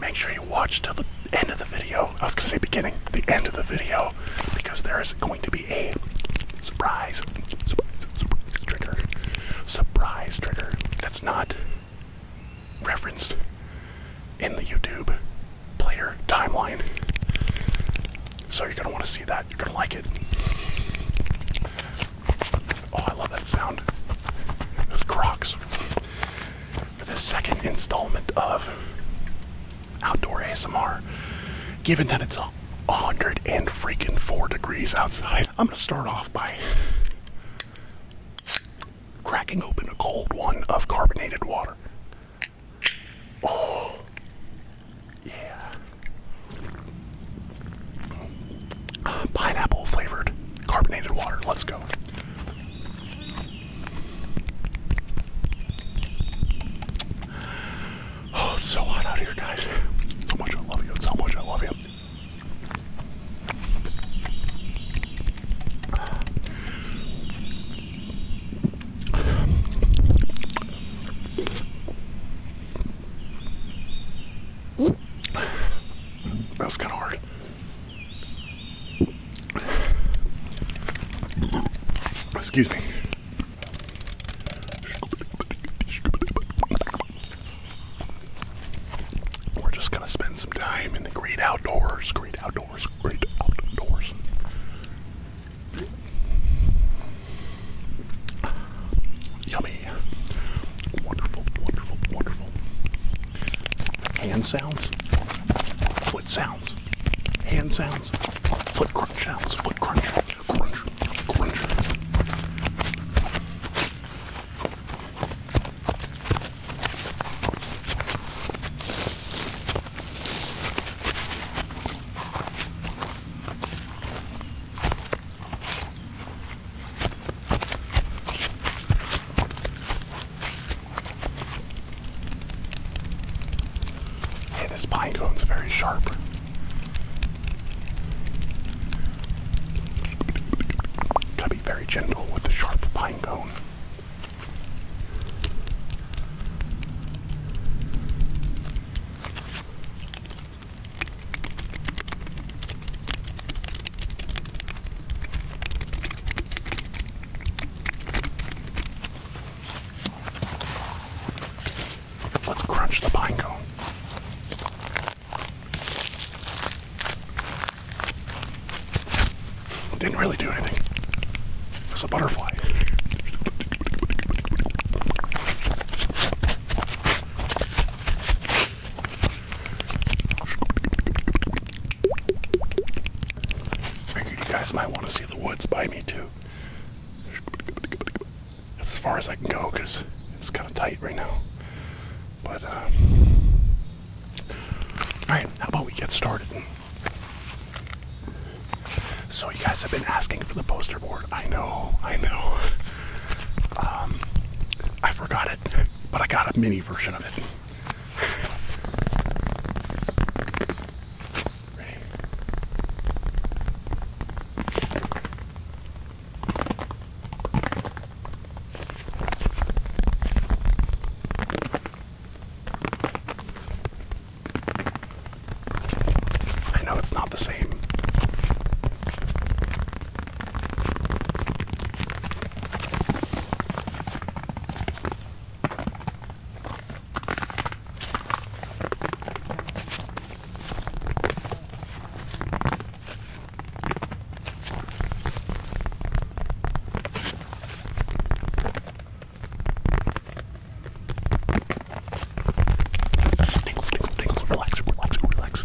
Make sure you watch till the end of the video. I was gonna say beginning, the end of the video, because there is going to be a surprise, trigger, surprise trigger that's not referenced in the YouTube player timeline. So you're gonna want to see that. You're gonna like it. Oh, I love that sound. Those crocs. For the second installment of Outdoor ASMR, given that it's a hundred and freaking four degrees outside, I'm gonna start off by cracking open a cold one of carbonated water. Oh, yeah pineapple flavored carbonated water. Let's go. Oh, it's so hot out here, guys. So much I love you. So much I love you. That was kind of hard. Excuse me. We're just gonna spend some time in the great outdoors, great outdoors, great outdoors. Yummy. Wonderful, wonderful, wonderful hand sounds, foot sounds, hand sounds, foot crunch sounds, foot crunch, crunch, crunch. Hey, this pine cone's very sharp. Gotta be very gentle with the sharp pine Let's crunch the pine cone. Didn't really do anything. It's a butterfly. Figured you guys might want to see the woods by me too. That's as far as I can go because it's kind of tight right now. But, uh, alright, how about we get started? So, you guys have been asking for the poster board. I know, I know. Um, I forgot it, but I got a mini version of it. I know it's not the same. Tingles, tingles, tingles, relax, relax, relax.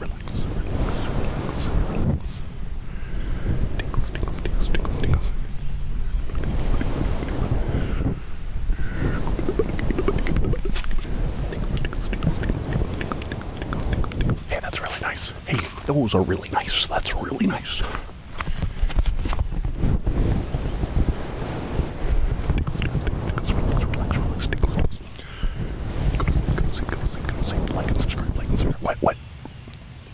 relax, relax, relax. Tickles, tickles, tickles, tickles, tickles. Hey, that's really nice. Hey, those are really nice. That's really nice. Tickles, tickles, tickles, relax, relax, tickles. Like and subscribe, What,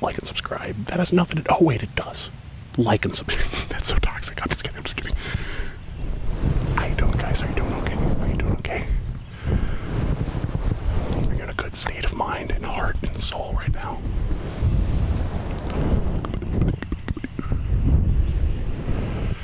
Like and subscribe. That has nothing to. do with it. Oh, wait, it does. Like and subscribe. That's so toxic. I'm just kidding, I'm just kidding. How you doing, guys? Are you doing okay? Are you doing okay? Are in a good state of mind and heart and soul right now?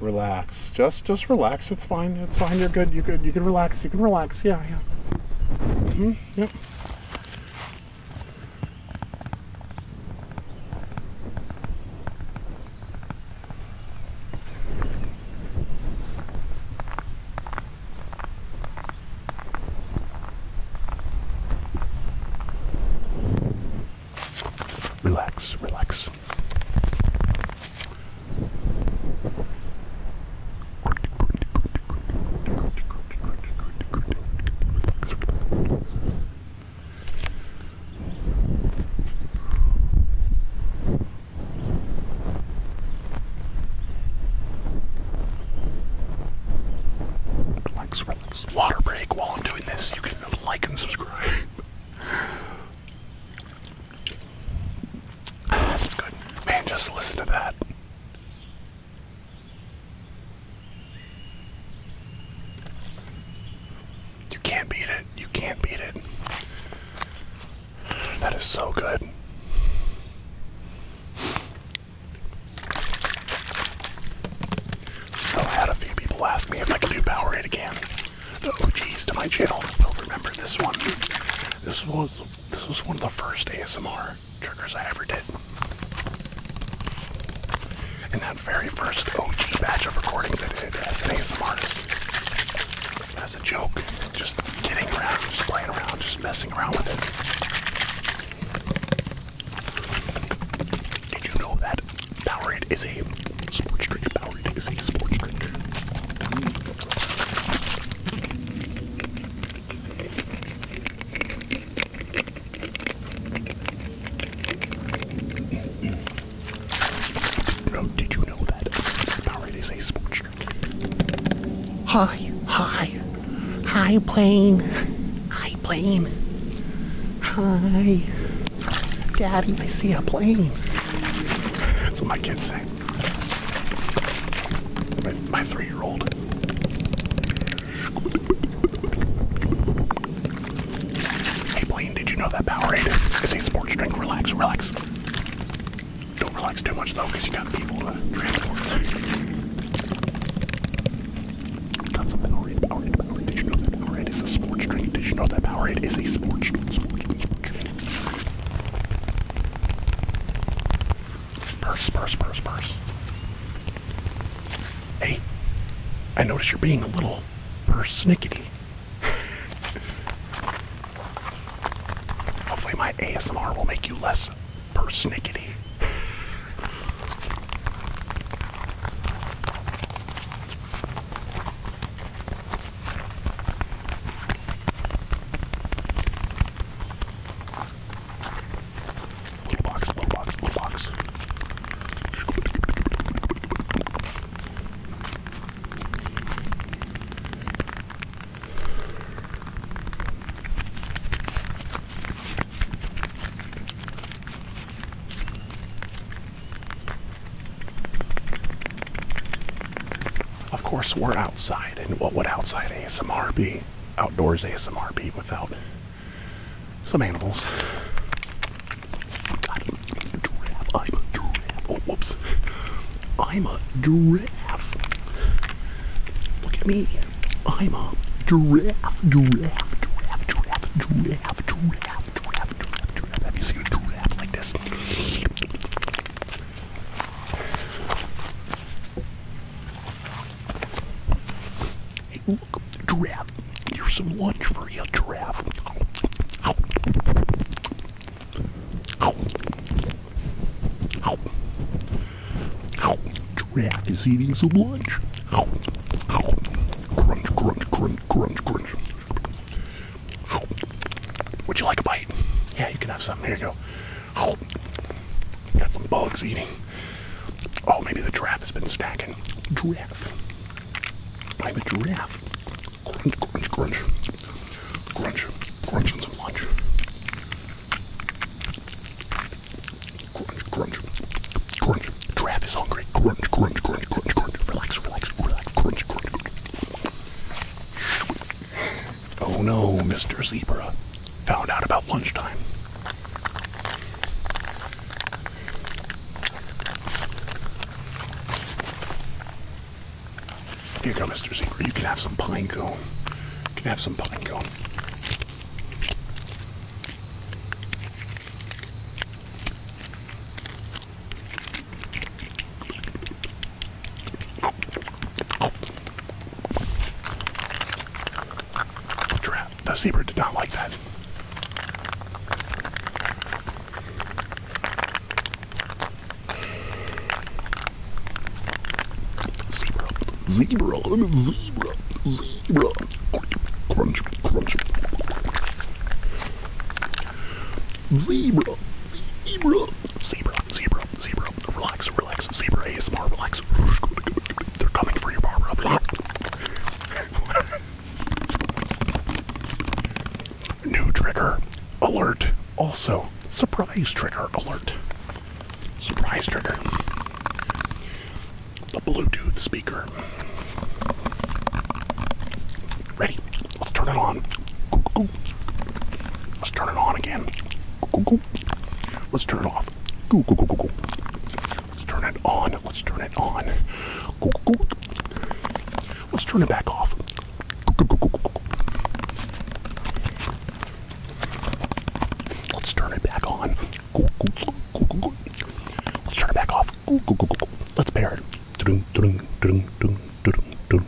Relax. Just just relax. It's fine. It's fine. You're good. You are good. You can relax. You can relax. Yeah, yeah. Mm-hmm. Yep. relax, relax. Relax, relax. Water break while I'm doing this. You can like and subscribe. That's good. Man, just listen to that. You can't beat it. You can't beat it. That is so good. So I had a few people ask me if I could do Powerade again. The OGs to my channel will remember this one. This was this was one of the first ASMR triggers I ever did. In that very first OG batch of recordings I did as As a joke. Just getting around, just playing around, just messing around with it. Did you know that Powerade is a sports drink? Power a sports drink. No, did you know that Powerade is a sports drink? Hi, hi, hi, plane, hi, plane, hi. Daddy, I see a plane. That's what my kids say. My, three year old. Hey, Blaine, did you know that Powerade is a sports drink? Relax, relax. Don't relax too much, though, you got people to transport. Got some Powerade, Powerade, Powerade. Did you know that Powerade is a sports drink? Did you know that Powerade is a sports drink. Purse, purse, purse, purse. Hey, I notice you're being a little persnickety. Hopefully, my ASMR will make you less persnickety. Little box, little box, little box. Of course, we're outside, and what would outside ASMR be? Outdoors ASMR be without some animals. God, I'm a giraffe. I'm a giraffe. Oh, whoops. I'm a giraffe. Look at me. I'm a giraffe, giraffe, giraffe, giraffe, giraffe, giraffe, giraffe rap, do rap, do rap. Have you seen a do rap like this? Hey, look, giraffe. Here's some lunch for you, giraffe. Ow. Ow. Ow. Ow. Giraffe is eating some lunch. Ow. Ow. Crunch, crunch, crunch, crunch, crunch. Would you like a bite? Yeah, you can have some. Here you go. Oh, got some bugs eating. Oh, maybe the giraffe has been stacking. Giraffe. I'm a giraffe. Crunch, crunch, crunch. Crunch, crunching some lunch. Crunch, crunch. Crunch. Giraffe is hungry. Crunch, crunch, crunch, crunch, crunch. Relax, relax, relax. Crunch, crunch. Oh no, Mr. Zebra found out about lunchtime. Here you go, Mr. Zebra. You can have some pine cone. You can have some pine cone. Giraffe. The zebra did not like that. Zebra, zebra, zebra, zebra. Crunch, crunch. Zebra, zebra, zebra, zebra, zebra. Relax, relax, zebra ASMR, relax. They're coming for you, Barbara. New trigger alert. Also, surprise trigger alert. Surprise trigger. The Bluetooth speaker. Ready? Let's turn it on. Let's turn it on again. Let's turn it off. Let's turn it on. Let's turn it on. Let's turn it back off. Let's turn it back on. Let's turn it back off. Let's pair it.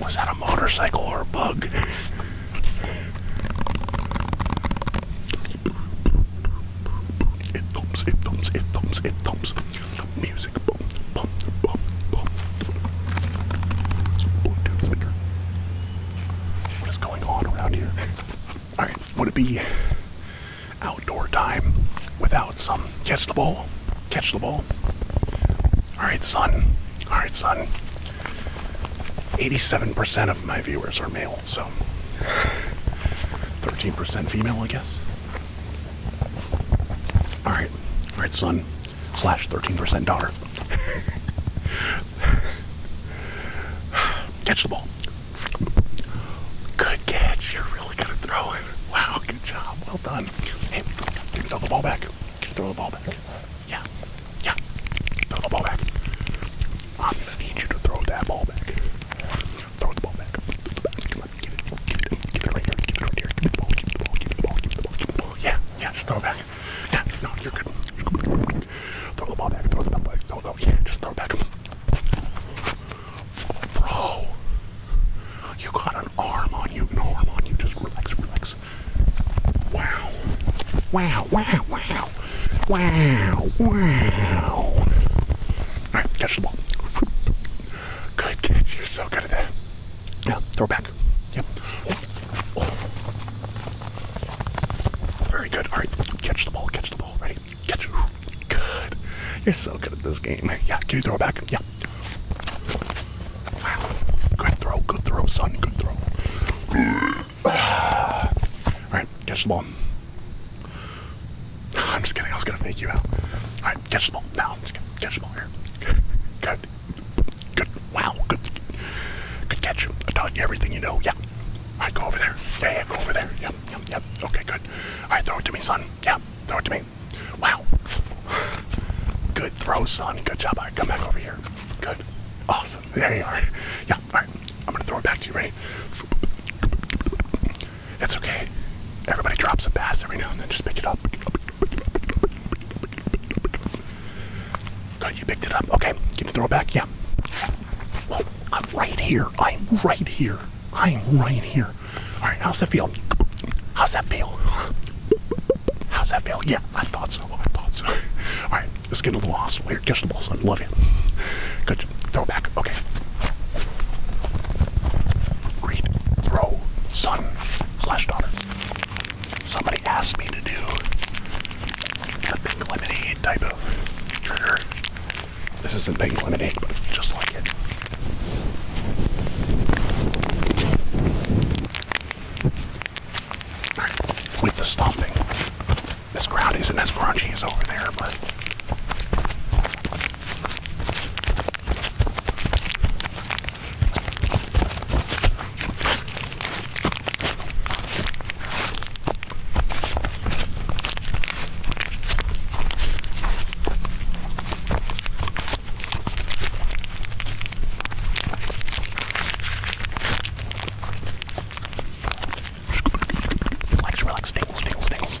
Was that a motorcycle or a bug? It thumps, it thumps, it thumps, it thumps. Music, boom, boom, boom, boom. Bluetooth speaker. What is going on around here? Alright, would it be outdoor time without some catch the ball? Catch the ball. All right, son. All right, son. 87% of my viewers are male, so 13% female, I guess. All right. All right, son. Slash 13% daughter. catch the ball. Good catch. You're really good at throwing. Wow, good job. Well done. Hey, throw the ball back. Throw the ball back. Yeah. Yeah. Throw the ball back. i need you to throw that ball back. Throw the ball back. Yeah, yeah, just throw it back. Yeah, no, you're good. Throw the ball back, throw the ball back, throw the ball, yeah, just throw it back. Bro. You got an arm on you, an arm on you. Just relax, relax. Wow. Wow, wow, wow. Wow, wow. Alright, catch the ball. Good kid, you're so good at that. Yeah, throw back. Yep. Oh. Very good. Alright, catch the ball, catch the ball. Ready? Catch it. Good. You're so good at this game. Yeah, can you throw back? Yeah. Wow. Good throw, good throw, son, good throw. Alright, catch the ball. I'm just kidding, I was gonna fake you out. Alright, catch the ball. Now, catch the ball here. Good. Good. Wow, good. Good catch. I taught you everything you know. Yeah. Alright, go over there. Yeah, yeah, go over there. Yep, yep, yep. Okay, good. Alright, throw it to me, son. Yeah, throw it to me. Wow. Good throw, son. Good job. All right, come back over here. Good. Awesome. There you are. Yeah, all right. I'm going to throw it back to you, ready? It's okay. Everybody drops a pass every now and then. Just pick it up. God, you picked it up. Okay, give me throw it back. Yeah. Whoa, I'm right here. I'm right here. I'm right here. All right, how's that feel? How's that feel? How's that feel? Yeah, I thought so. I thought so. All right, let's get into the hospital here. Catch the balls. I love it. Good. Throw it back. Okay. Read, throw, son, slash daughter. Somebody asked me to do a pink lemonade type of trigger. This isn't pink lemonade, but it's just like it. With the stomping, this ground isn't as crunchy as over there, but. Relax, relax, tingles, tingles, tingles.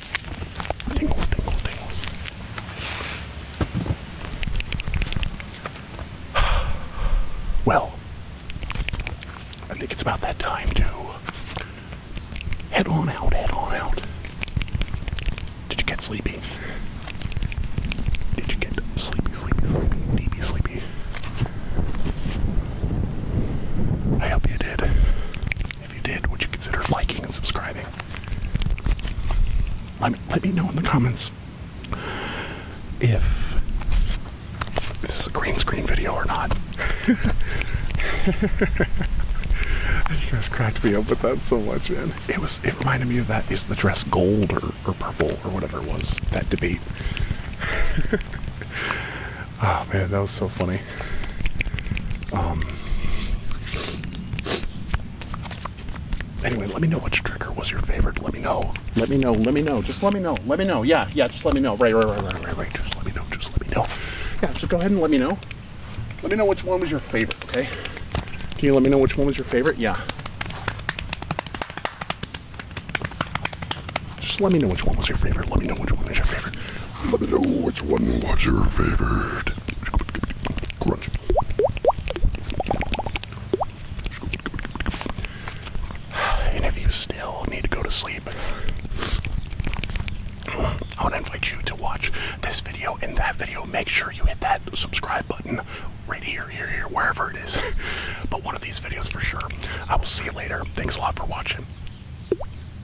Well, I think it's about that time to head on out, head on out. Did you get sleepy? Did you get sleepy, sleepy, sleepy, sleepy, sleepy? I hope you did. If you did, would you consider liking and subscribing? Let me, let me know in the comments if this is a green screen video or not. you guys cracked me up with that so much, man. It was it reminded me of that is the dress gold or, or purple or whatever it was, that debate. Oh man, that was so funny. Um. Anyway, let me know which trigger was your favorite. Let me know. Let me know. Let me know. Just let me know. Let me know. Yeah, yeah. Just let me know. Right, right, right, right, right, right. Just let me know. Just let me know. Yeah. Just go ahead and let me know. Let me know which one was your favorite. Okay. Can you let me know which one was your favorite? Yeah. Just let me know which one was your favorite. Let me know which one was your favorite. Let me know which one was your favorite. Crunch. And if you still need to go to sleep, I want to invite you to watch this video and that video. Make sure you hit that subscribe button right here, here, here, wherever it is. but one of these videos for sure. I will see you later. Thanks a lot for watching.